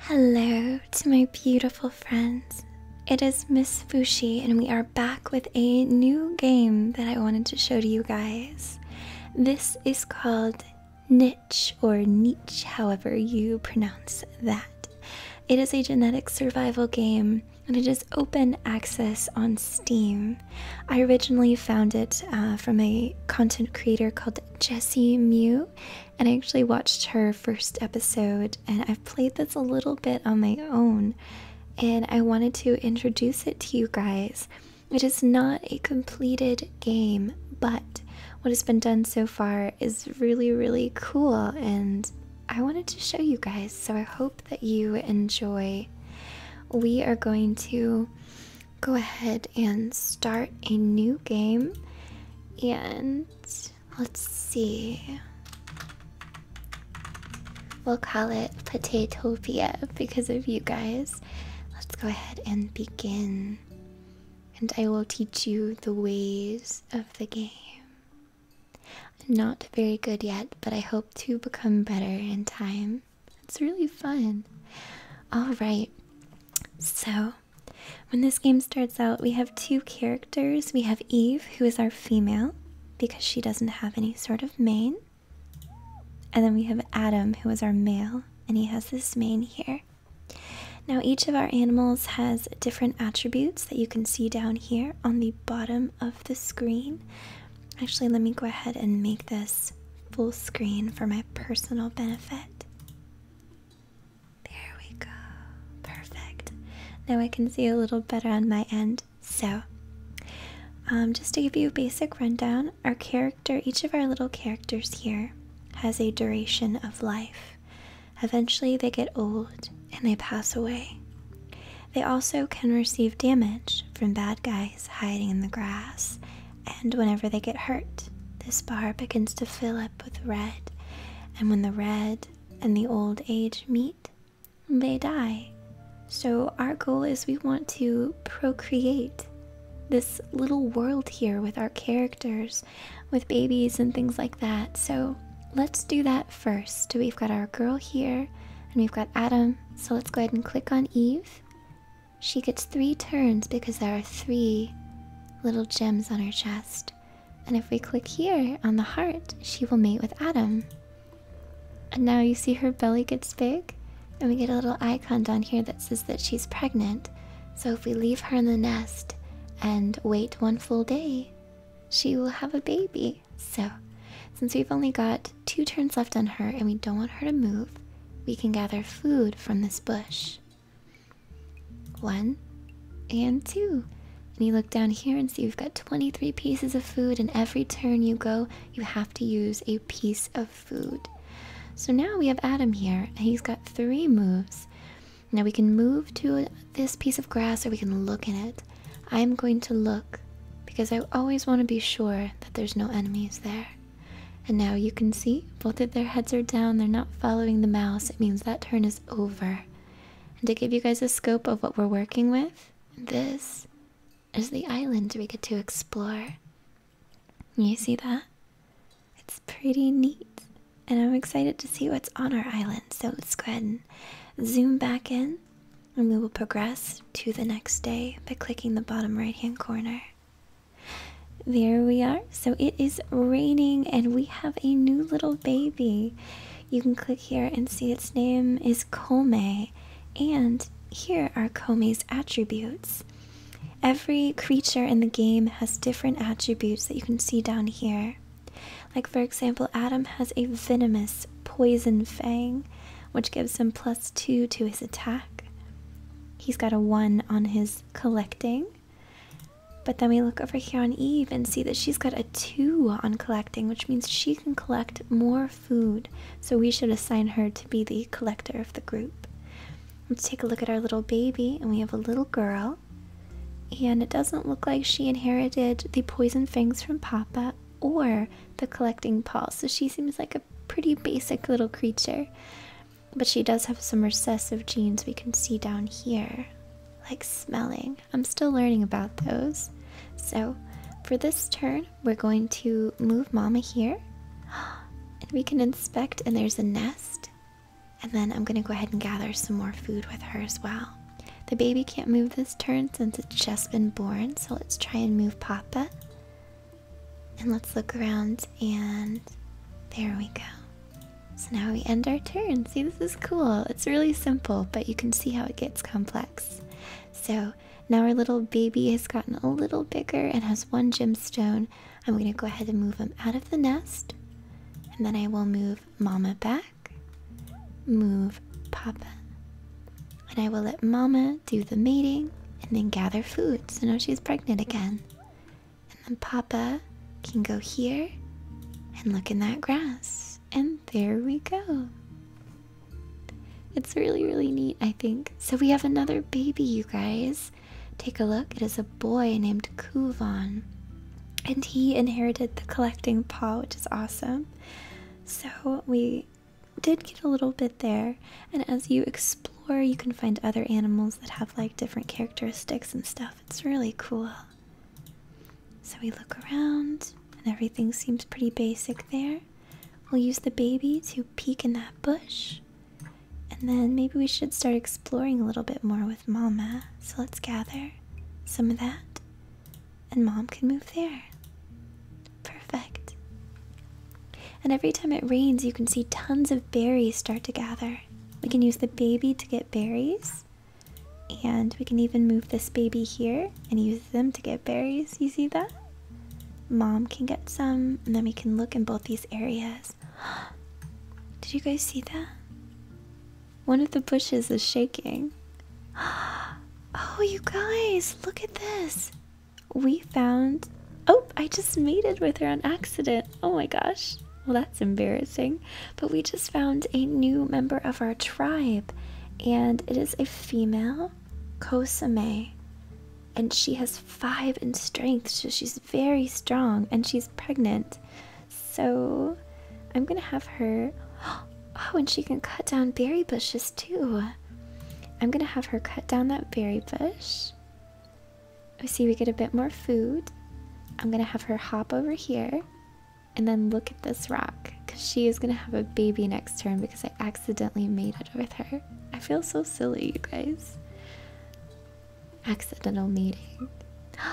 Hello to my beautiful friends. It is Miss Fushi, and we are back with a new game that I wanted to show to you guys. This is called Niche, or Niche, however you pronounce that. It is a genetic survival game and it is open access on Steam. I originally found it uh, from a content creator called Jessie Mew, and I actually watched her first episode, and I've played this a little bit on my own, and I wanted to introduce it to you guys. It is not a completed game, but what has been done so far is really, really cool, and I wanted to show you guys, so I hope that you enjoy. We are going to go ahead and start a new game. And let's see. We'll call it Potatopia because of you guys. Let's go ahead and begin. And I will teach you the ways of the game. not very good yet, but I hope to become better in time. It's really fun. Alright, so when this game starts out, we have two characters. We have Eve, who is our female, because she doesn't have any sort of mane. And then we have Adam, who is our male, and he has this mane here. Now, each of our animals has different attributes that you can see down here on the bottom of the screen. Actually, let me go ahead and make this full screen for my personal benefit. There we go. Perfect. Now I can see a little better on my end. So, um, just to give you a basic rundown, our character, each of our little characters here, has a duration of life. Eventually, they get old and they pass away. They also can receive damage from bad guys hiding in the grass, and whenever they get hurt, this bar begins to fill up with red, and when the red and the old age meet, they die. So, our goal is we want to procreate this little world here with our characters, with babies and things like that. So, let's do that first. We've got our girl here, and we've got Adam so let's go ahead and click on Eve. She gets three turns because there are three little gems on her chest. And if we click here on the heart, she will mate with Adam. And now you see her belly gets big, and we get a little icon down here that says that she's pregnant. So if we leave her in the nest and wait one full day, she will have a baby. So, since we've only got two turns left on her and we don't want her to move, we can gather food from this bush. One and two. And you look down here and see you've got 23 pieces of food, and every turn you go, you have to use a piece of food. So now we have Adam here, and he's got three moves. Now we can move to this piece of grass or we can look in it. I'm going to look because I always want to be sure that there's no enemies there. And now you can see both of their heads are down, they're not following the mouse. It means that turn is over. And to give you guys a scope of what we're working with, this is the island we get to explore. You see that? It's pretty neat. And I'm excited to see what's on our island. So let's go ahead and zoom back in and we will progress to the next day by clicking the bottom right hand corner. There we are. So it is raining, and we have a new little baby. You can click here and see its name is Kome, and here are Kome's attributes. Every creature in the game has different attributes that you can see down here. Like, for example, Adam has a venomous poison fang, which gives him plus two to his attack. He's got a one on his collecting. But then we look over here on Eve and see that she's got a two on collecting, which means she can collect more food. So we should assign her to be the collector of the group. Let's take a look at our little baby, and we have a little girl. And it doesn't look like she inherited the poison fangs from Papa, or the collecting paws, so she seems like a pretty basic little creature. But she does have some recessive genes we can see down here, like smelling. I'm still learning about those. So for this turn, we're going to move Mama here, and we can inspect, and there's a nest. And then I'm going to go ahead and gather some more food with her as well. The baby can't move this turn since it's just been born, so let's try and move Papa. And let's look around, and there we go. So now we end our turn. See, this is cool. It's really simple, but you can see how it gets complex. So now our little baby has gotten a little bigger and has one gemstone. I'm going to go ahead and move him out of the nest. And then I will move Mama back, move Papa, and I will let Mama do the mating and then gather food so now she's pregnant again. And then Papa can go here and look in that grass. And there we go. It's really, really neat, I think. So we have another baby, you guys. Take a look. It is a boy named Kuvan. And he inherited the collecting paw, which is awesome. So we did get a little bit there, and as you explore, you can find other animals that have like different characteristics and stuff. It's really cool. So we look around, and everything seems pretty basic there. We'll use the baby to peek in that bush, and then maybe we should start exploring a little bit more with Mama. So let's gather some of that, and Mom can move there. Perfect. And every time it rains, you can see tons of berries start to gather. We can use the baby to get berries. And we can even move this baby here and use them to get berries. You see that? Mom can get some, and then we can look in both these areas. Did you guys see that? One of the bushes is shaking. Oh, you guys, look at this we found. Oh, I just mated with her on accident. Oh my gosh. Well, that's embarrassing. But we just found a new member of our tribe, and it is a female, Kosame. And she has five in strength, so she's very strong, and she's pregnant. So I'm gonna have her. Oh, and she can cut down berry bushes too. I'm gonna have her cut down that berry bush. We see we get a bit more food. I'm gonna have her hop over here and then look at this rock because she is gonna have a baby next turn because I accidentally made it with her. I feel so silly, you guys. Accidental meeting.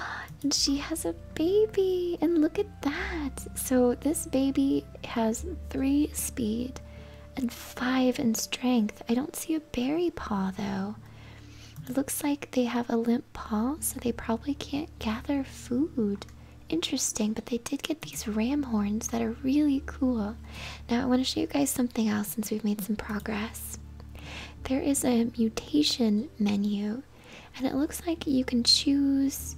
and she has a baby, and look at that. So, this baby has three speed, and five in strength. I don't see a berry paw though. It looks like they have a limp paw, so they probably can't gather food. Interesting, but they did get these ram horns that are really cool. Now, I want to show you guys something else since we've made some progress. There is a mutation menu, and it looks like you can choose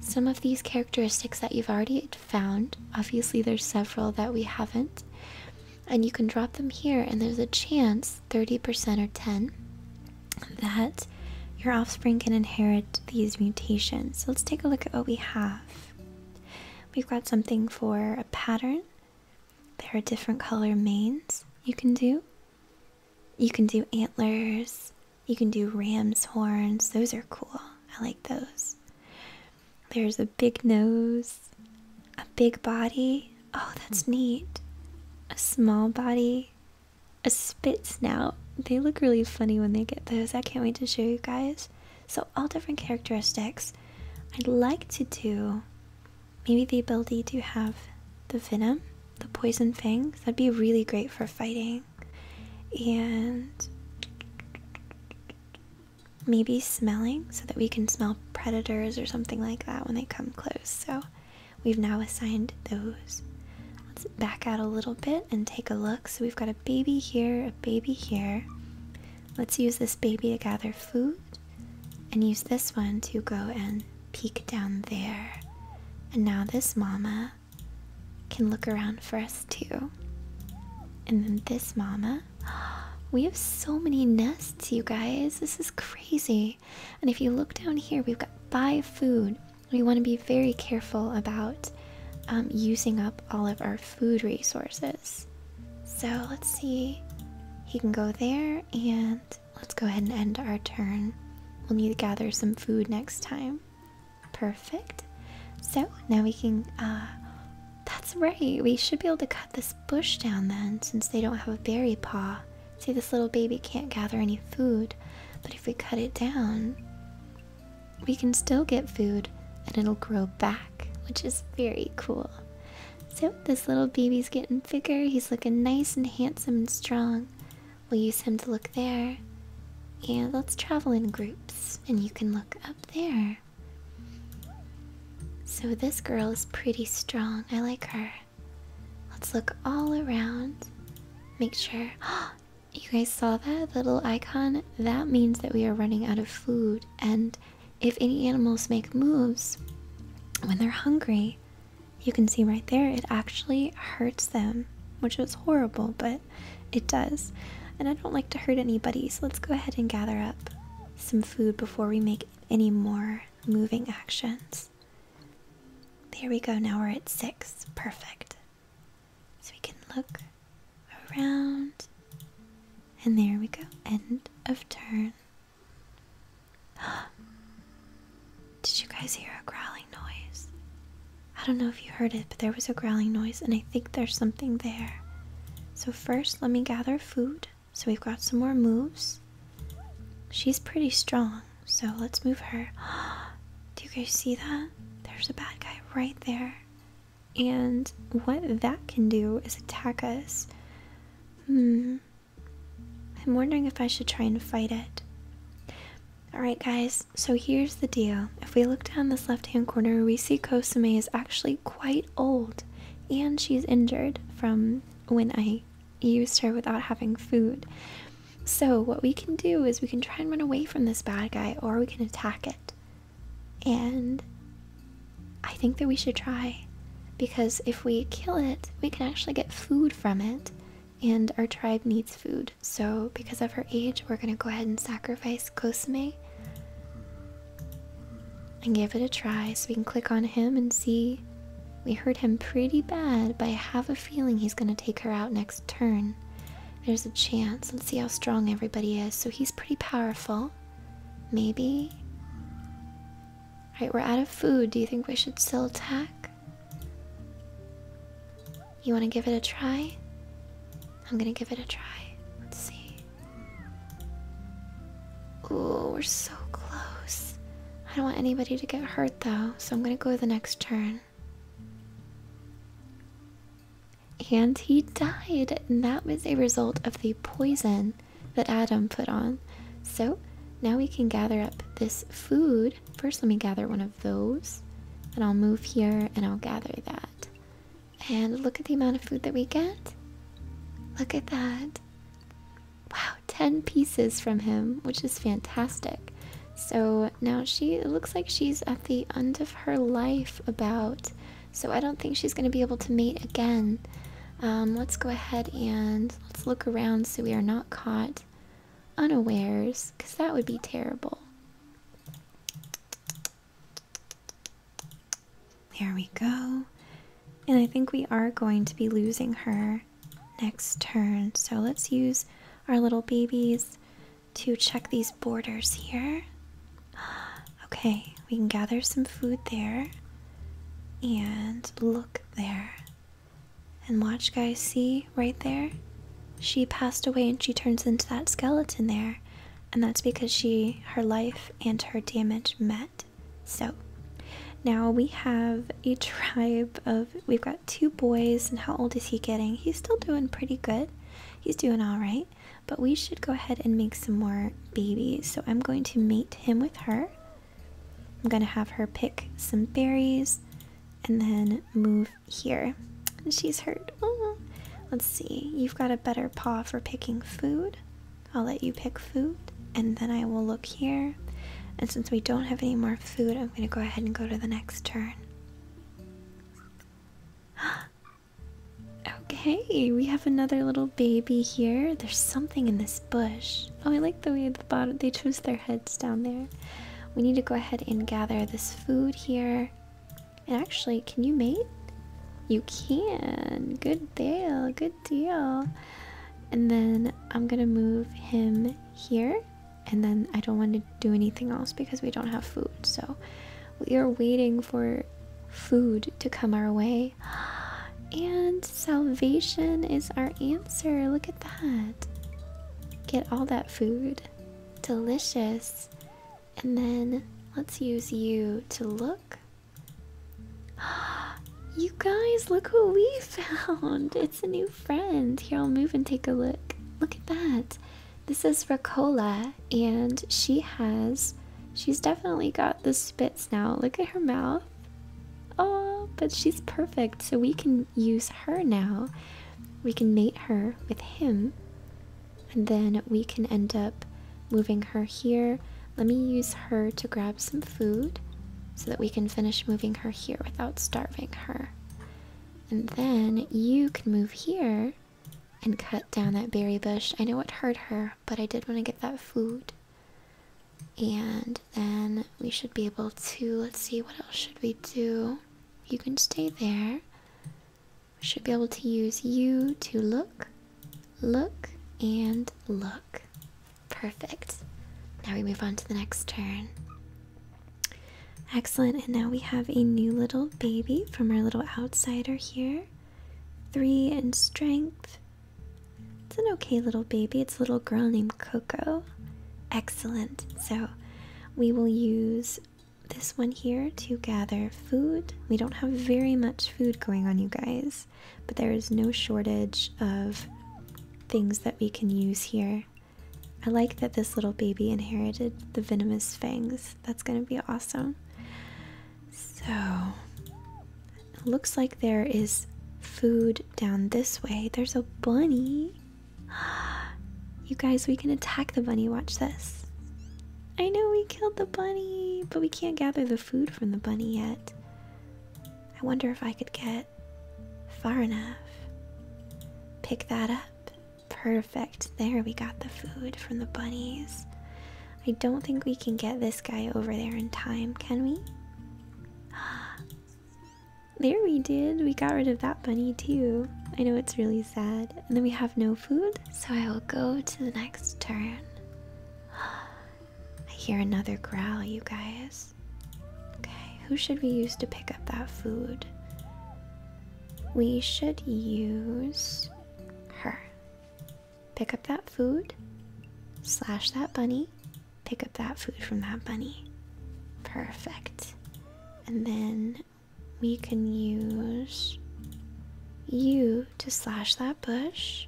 some of these characteristics that you've already found. Obviously, there's several that we haven't. And you can drop them here, and there's a chance 30% or 10 that your offspring can inherit these mutations. So let's take a look at what we have. We've got something for a pattern. There are different color manes you can do. You can do antlers. You can do ram's horns. Those are cool. I like those. There's a big nose, a big body. Oh, that's hmm. neat. A small body, a spit snout. They look really funny when they get those. I can't wait to show you guys. So, all different characteristics. I'd like to do maybe the ability to have the venom, the poison fangs. That'd be really great for fighting. And maybe smelling so that we can smell predators or something like that when they come close. So we've now assigned those. Let's back out a little bit and take a look. So we've got a baby here, a baby here. Let's use this baby to gather food and use this one to go and peek down there. And now this mama can look around for us us too. And then this mama. We have so many nests, you guys. This is crazy. And if you look down here, we've got five food. We want to be very careful about um, using up all of our food resources. So let's see. He can go there, and let's go ahead and end our turn. We'll need to gather some food next time. Perfect. So now we can, uh, that's right. We should be able to cut this bush down then since they don't have a berry paw. See, this little baby can't gather any food, but if we cut it down, we can still get food and it'll grow back, which is very cool. So this little baby's getting bigger. He's looking nice and handsome and strong. We'll use him to look there. And let's travel in groups. And you can look up there. So, this girl is pretty strong. I like her. Let's look all around. Make sure. You guys saw that? little icon? That means that we are running out of food. And if any animals make moves when they're hungry, you can see right there it actually hurts them, which is horrible, but it does. And I don't like to hurt anybody, so let's go ahead and gather up some food before we make any more moving actions. There we go, now we're at six. Perfect. So we can look around. And there we go. End of turn. Did you guys hear a growling noise? I don't know if you heard it, but there was a growling noise, and I think there's something there. So, first, let me gather food. So, we've got some more moves. She's pretty strong, so let's move her. Do you guys see that? There's a bad guy right there. And what that can do is attack us. Hmm. I'm wondering if I should try and fight it. Alright, guys, so here's the deal if we look down this left hand corner, we see Kosume is actually quite old and she's injured from when I used her without having food. So, what we can do is we can try and run away from this bad guy or we can attack it. And I think that we should try because if we kill it, we can actually get food from it, and our tribe needs food. So, because of her age, we're going to go ahead and sacrifice Kosume and give it a try so we can click on him and see. We hurt him pretty bad, but I have a feeling he's going to take her out next turn. There's a chance. Let's see how strong everybody is. So he's pretty powerful. Maybe. Alright, we're out of food. Do you think we should still attack? You want to give it a try? I'm going to give it a try. Let's see. Ooh, we're so close. I don't want anybody to get hurt though, so I'm gonna go the next turn. And he died, and that was a result of the poison that Adam put on. So now we can gather up this food. First, let me gather one of those, and I'll move here and I'll gather that. And look at the amount of food that we get. Look at that. Wow, 10 pieces from him, which is fantastic. So now she, it looks like she's at the end of her life about. So I don't think she's going to be able to mate again. Um, let's go ahead and let's look around so we are not caught unawares, because that would be terrible. There we go. And I think we are going to be losing her next turn. So let's use our little babies to check these borders here. Okay, we can gather some food there and look there. And watch, guys, see right there? She passed away and she turns into that skeleton there and that's because she her life and her damage met. So now we have a tribe of we've got two boys and how old is he getting? He's still doing pretty good. He's doing all right, but we should go ahead and make some more babies. So I'm going to mate him with her. I'm going to have her pick some berries and then move here. And she's hurt Let's see. You've got a better paw for picking food. I'll let you pick food, and then I will look here. And since we don't have any more food, I'm going to go ahead and go to the next turn. okay, we have another little baby here. There's something in this bush. Oh, I like the way the bottom they chose their heads down there. We need to go ahead and gather this food here. And actually, can you mate? You can. Good deal. Good deal. And then I'm gonna move him here. And then I don't want to do anything else because we don't have food. So we are waiting for food to come our way. And salvation is our answer. Look at that. Get all that food. Delicious. And then let's use you to look. You guys, look who we found! It's a new friend. Here, I'll move and take a look. Look at that. This is Ricola, and she has. She's definitely got the spits now. Look at her mouth. Oh, but she's perfect, so we can use her now. We can mate her with him and then we can end up moving her here. Let me use her to grab some food so that we can finish moving her here without starving her. And then you can move here and cut down that berry bush. I know it hurt her, but I did want to get that food. And then we should be able to, let's see, what else should we do? You can stay there should be able to use you to look, look, and look. Perfect. Now we move on to the next turn. Excellent, and now we have a new little baby from our little outsider here. Three in strength. It's an okay little baby. It's a little girl named Coco. Excellent. So we will use this one here to gather food. We don't have very much food going on, you guys, but there is no shortage of things that we can use here. I like that this little baby inherited the venomous fangs. That's going to be awesome. So, looks like there is food down this way. There's a bunny. You guys, we can attack the bunny. Watch this. I know we killed the bunny, but we can't gather the food from the bunny yet. I wonder if I could get far enough. Pick that up. Perfect. There we got the food from the bunnies. I don't think we can get this guy over there in time, can we? There we did. We got rid of that bunny too. I know it's really sad. And then we have no food, so I will go to the next turn. I hear another growl, you guys. Okay, who should we use to pick up that food? We should use her. Pick up that food, slash that bunny, pick up that food from that bunny. Perfect. And then we can use you to slash that bush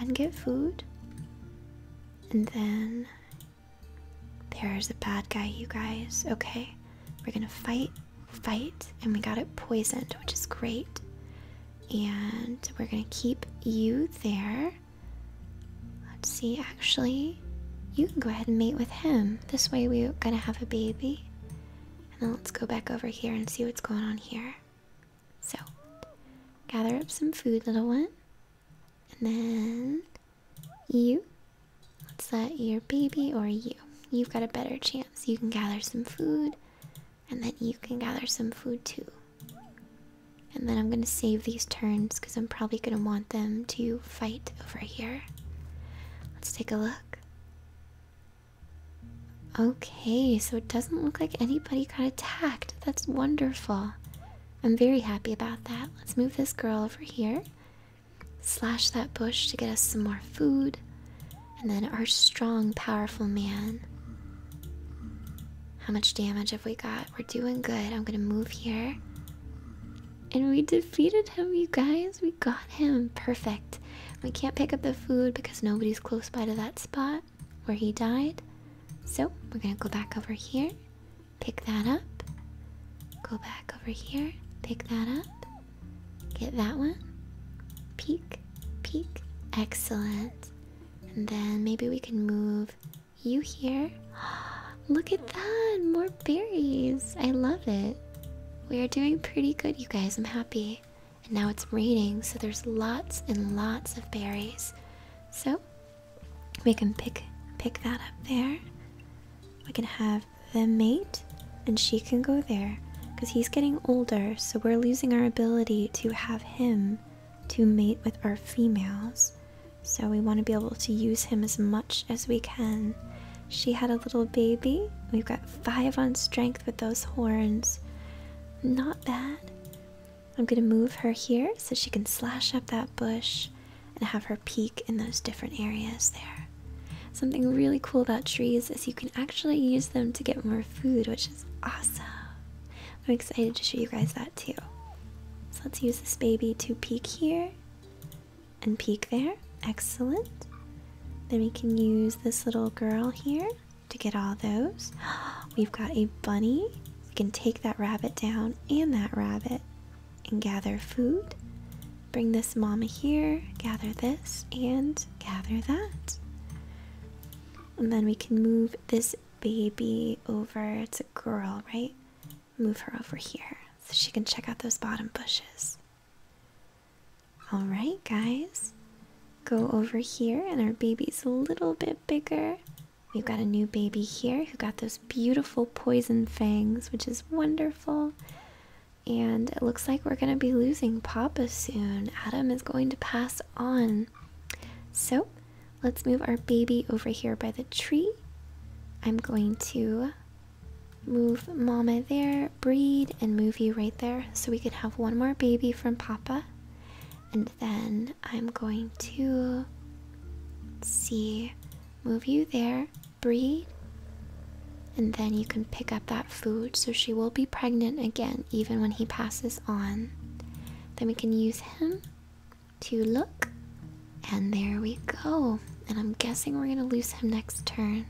and get food. And then there's a bad guy, you guys. Okay, we're gonna fight, fight, and we got it poisoned, which is great. And we're gonna keep you there. Let's see, actually, you can go ahead and mate with him. This way, we're gonna have a baby. And let's go back over here and see what's going on here. So, gather up some food, little one. And then you. Let's let your baby or you. You've got a better chance. You can gather some food, and then you can gather some food too. And then I'm going to save these turns because I'm probably going to want them to fight over here. Let's take a look. Okay, so it doesn't look like anybody got attacked. That's wonderful. I'm very happy about that. Let's move this girl over here. Slash that bush to get us some more food. And then our strong, powerful man. How much damage have we got? We're doing good. I'm gonna move here. And we defeated him, you guys. We got him. Perfect. We can't pick up the food because nobody's close by to that spot where he died. So we're gonna go back over here, pick that up, go back over here, pick that up, get that one, peek, peek. Excellent. And then maybe we can move you here. Look at that! More berries! I love it. We are doing pretty good, you guys. I'm happy and now it's raining, so there's lots and lots of berries. So we can pick pick that up there. We can have the mate, and she can go there because he's getting older, so we're losing our ability to have him to mate with our females. So we want to be able to use him as much as we can. She had a little baby. We've got five on strength with those horns. Not bad. I'm gonna move her here so she can slash up that bush and have her peek in those different areas there. Something really cool about trees is you can actually use them to get more food, which is awesome. I'm excited to show you guys that too. So let's use this baby to peek here and peek there. Excellent. Then we can use this little girl here to get all those. We've got a bunny. We can take that rabbit down and that rabbit and gather food. Bring this mama here, gather this, and gather that. And then we can move this baby over. It's a girl, right? Move her over here so she can check out those bottom bushes. Alright, guys. Go over here, and our baby's a little bit bigger. We've got a new baby here who got those beautiful poison fangs, which is wonderful. And it looks like we're going to be losing Papa soon. Adam is going to pass on. So let's move our baby over here by the tree. I'm going to move Mama there, breed, and move you right there so we can have one more baby from Papa and then I'm going to see move you there, breathe, and then you can pick up that food. So she will be pregnant again, even when he passes on. Then we can use him to look, and there we go. And I'm guessing we're gonna lose him next turn.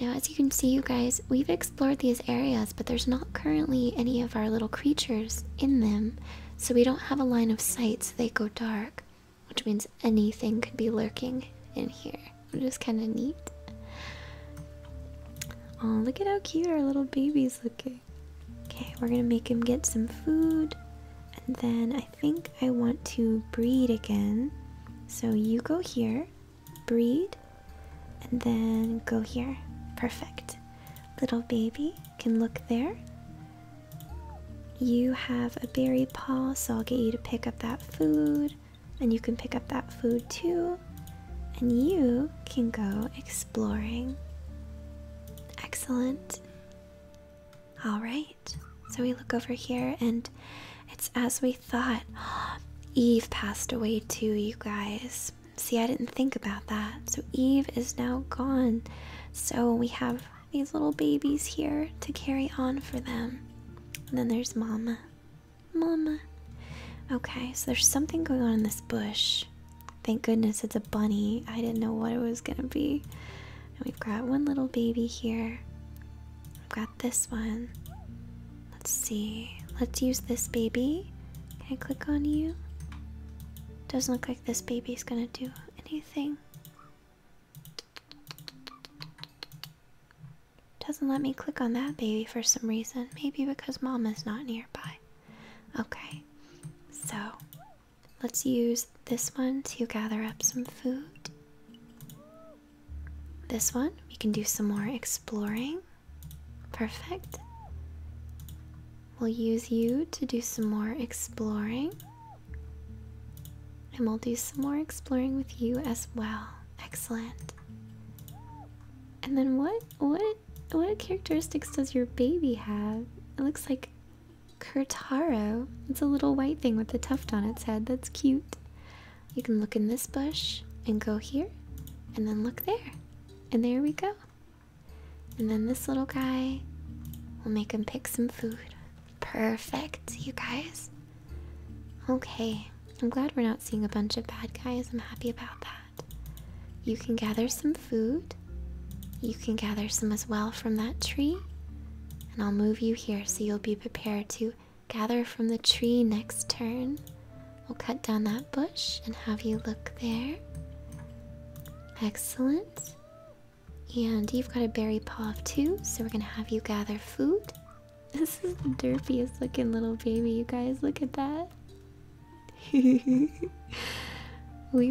Now, as you can see, you guys, we've explored these areas, but there's not currently any of our little creatures in them, so we don't have a line of sight, so they go dark, which means anything could be lurking in here, which is kind of neat. Oh, look at how cute our little baby's looking. Okay, we're gonna make him get some food, and then I think I want to breed again. So you go here breed, and then go here. Perfect. Little baby can look there. You have a berry paw, so I'll get you to pick up that food, and you can pick up that food too. And you can go exploring. Excellent. Alright, so we look over here, and it's as we thought. Eve passed away too, you guys. See, I didn't think about that. So Eve is now gone. So we have these little babies here to carry on for them. And then there's Mama. Mama. Okay, so there's something going on in this bush. Thank goodness it's a bunny. I didn't know what it was gonna be. we've got one little baby here. We've got this one. Let's see. Let's use this baby. Can I click on you? Doesn't look like this baby's gonna do anything. Doesn't let me click on that baby for some reason. Maybe because mom is not nearby. Okay, so let's use this one to gather up some food. This one, we can do some more exploring. Perfect. We'll use you to do some more exploring. And we'll do some more exploring with you as well. Excellent. And then what what what characteristics does your baby have? It looks like Kurtaro. It's a little white thing with a tuft on its head. That's cute. You can look in this bush and go here and then look there. And there we go. And then this little guy will make him pick some food. Perfect, you guys. Okay, I'm glad we're not seeing a bunch of bad guys. I'm happy about that. You can gather some food. You can gather some as well from that tree. And I'll move you here so you'll be prepared to gather from the tree next turn we will cut down that bush and have you look there. Excellent. And you've got a berry paw of two, so we're gonna have you gather food. This is the derpiest looking little baby, you guys. Look at that. we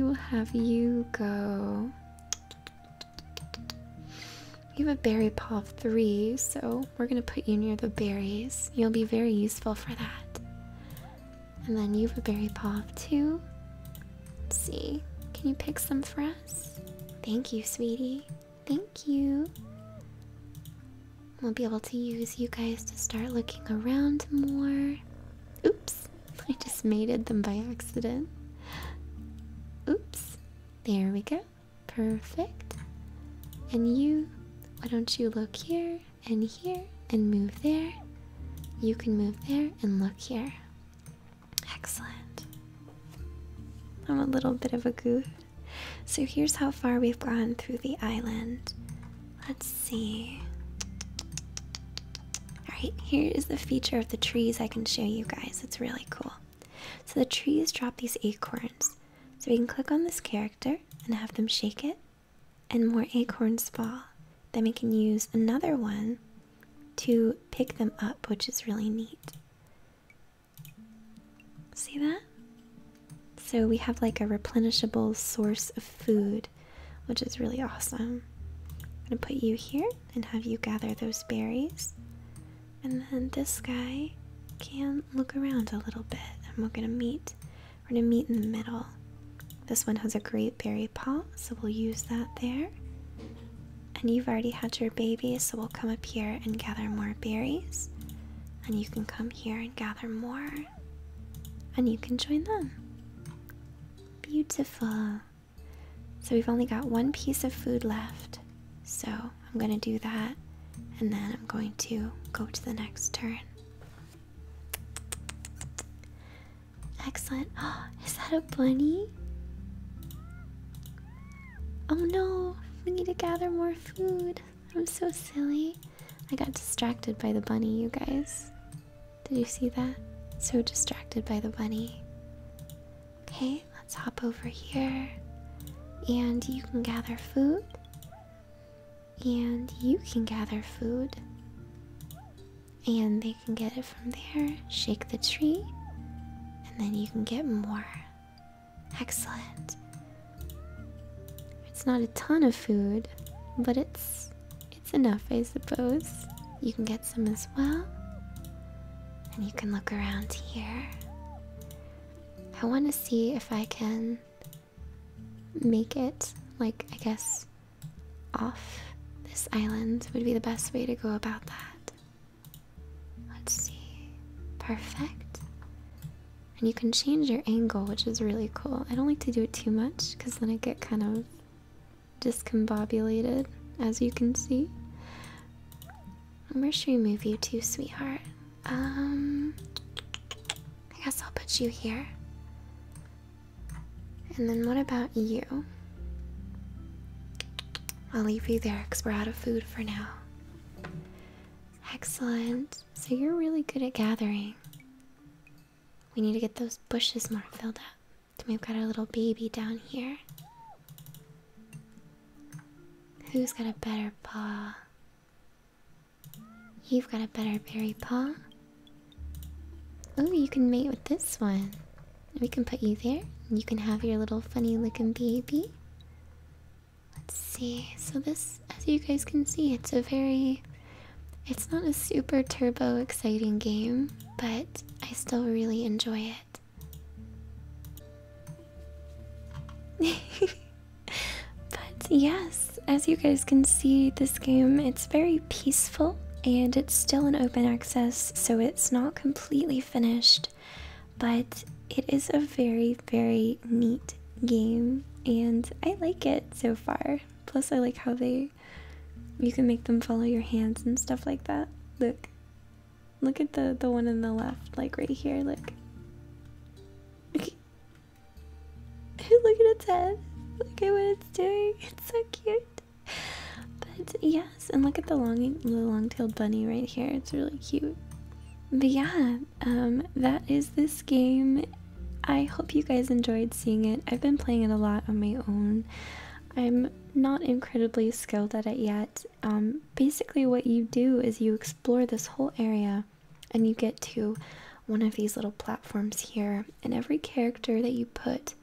will have you go. You have a berry paw of three, so we're gonna put you near the berries. You'll be very useful for that. And then you have a berry pop too. see. Can you pick some for us? Thank you, sweetie. Thank you. We'll be able to use you guys to start looking around more. Oops, I just mated them by accident. Oops, there we go. Perfect. And you, why don't you look here? and here and move there. You can move there and look here. Excellent. I'm a little bit of a goof. So here's how far we've gone through the island. Let's see. Alright, here is the feature of the trees I can show you guys. It's really cool. So the trees drop these acorns. So we can click on this character and have them shake it and more acorns fall, then we can use another one to pick them up, which is really neat. See that? So we have like a replenishable source of food, which is really awesome. I'm gonna put you here and have you gather those berries. And then this guy can look around a little bit and we're gonna meet we're gonna meet in the middle. This one has a great berry pot, so we'll use that there. And you've already had your baby, so we'll come up here and gather more berries. And you can come here and gather more. And you can join them. Beautiful. So we've only got one piece of food left. So I'm going to do that. And then I'm going to go to the next turn. Excellent. Oh, is that a bunny? Oh no, we need to gather more food. I'm so silly. I got distracted by the bunny, you guys. Did you see that? So distracted by the bunny. Okay, let's hop over here. And you can gather food and you can gather food. And they can get it from there, shake the tree, and then you can get more. Excellent. It's not a ton of food, but it's it's enough, I suppose. You can get some as well. And you can look around here. I want to see if I can make it, like, I guess, off this island would be the best way to go about that. Let's see. Perfect. And you can change your angle, which is really cool. I don't like to do it too much because then I get kind of discombobulated, as you can see. Where should we move you to, sweetheart? Um, I guess I'll put you here. And then what about you? I'll leave you there because we're out of food for now. Excellent. So you're really good at gathering. We need to get those bushes more filled up. we've got our little baby down here. Who's got a better paw? You've got a better berry paw. Oh, you can mate with this one. We can put you there. And you can have your little funny looking baby. Let's see. So this, as you guys can see, it's a very... It's not a super turbo exciting game, but I still really enjoy it. but yes, as you guys can see, this game it's very peaceful and it's still in open access, so it's not completely finished, but it is a very, very neat game and I like it so far. Plus I like how they you can make them follow your hands and stuff like that. Look. Look at the the one on the left, like right here, look. Look at its head. Look at what it's doing. It's so cute. But yes, and look at the long, the long-tailed bunny right here. It's really cute. But yeah, um, that is this game. I hope you guys enjoyed seeing it. I've been playing it a lot on my own. I'm not incredibly skilled at it yet. Um, basically, what you do is you explore this whole area and you get to one of these little platforms here and every character that you put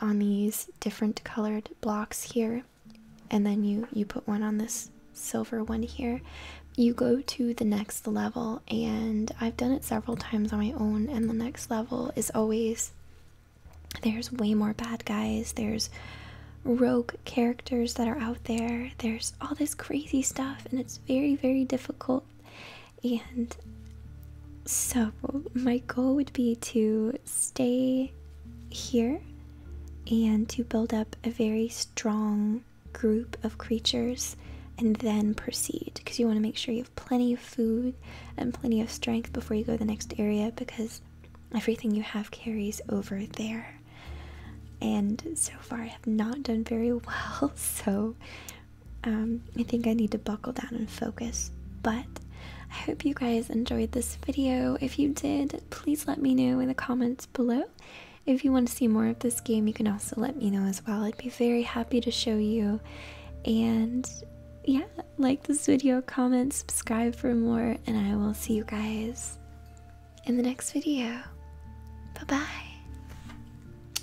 on these different colored blocks here and then you you put one on this silver one here you go to the next level and i've done it several times on my own and the next level is always there's way more bad guys there's rogue characters that are out there there's all this crazy stuff and it's very very difficult and so, my goal would be to stay here and to build up a very strong group of creatures and then proceed because you want to make sure you have plenty of food and plenty of strength before you go to the next area because everything you have carries over there. And so far, I have not done very well, so um, I think I need to buckle down and focus. But I hope you guys enjoyed this video. If you did, please let me know in the comments below. If you want to see more of this game, you can also let me know as well. I'd be very happy to show you. And yeah, like this video, comment, subscribe for more, and I will see you guys in the next video. Bye bye.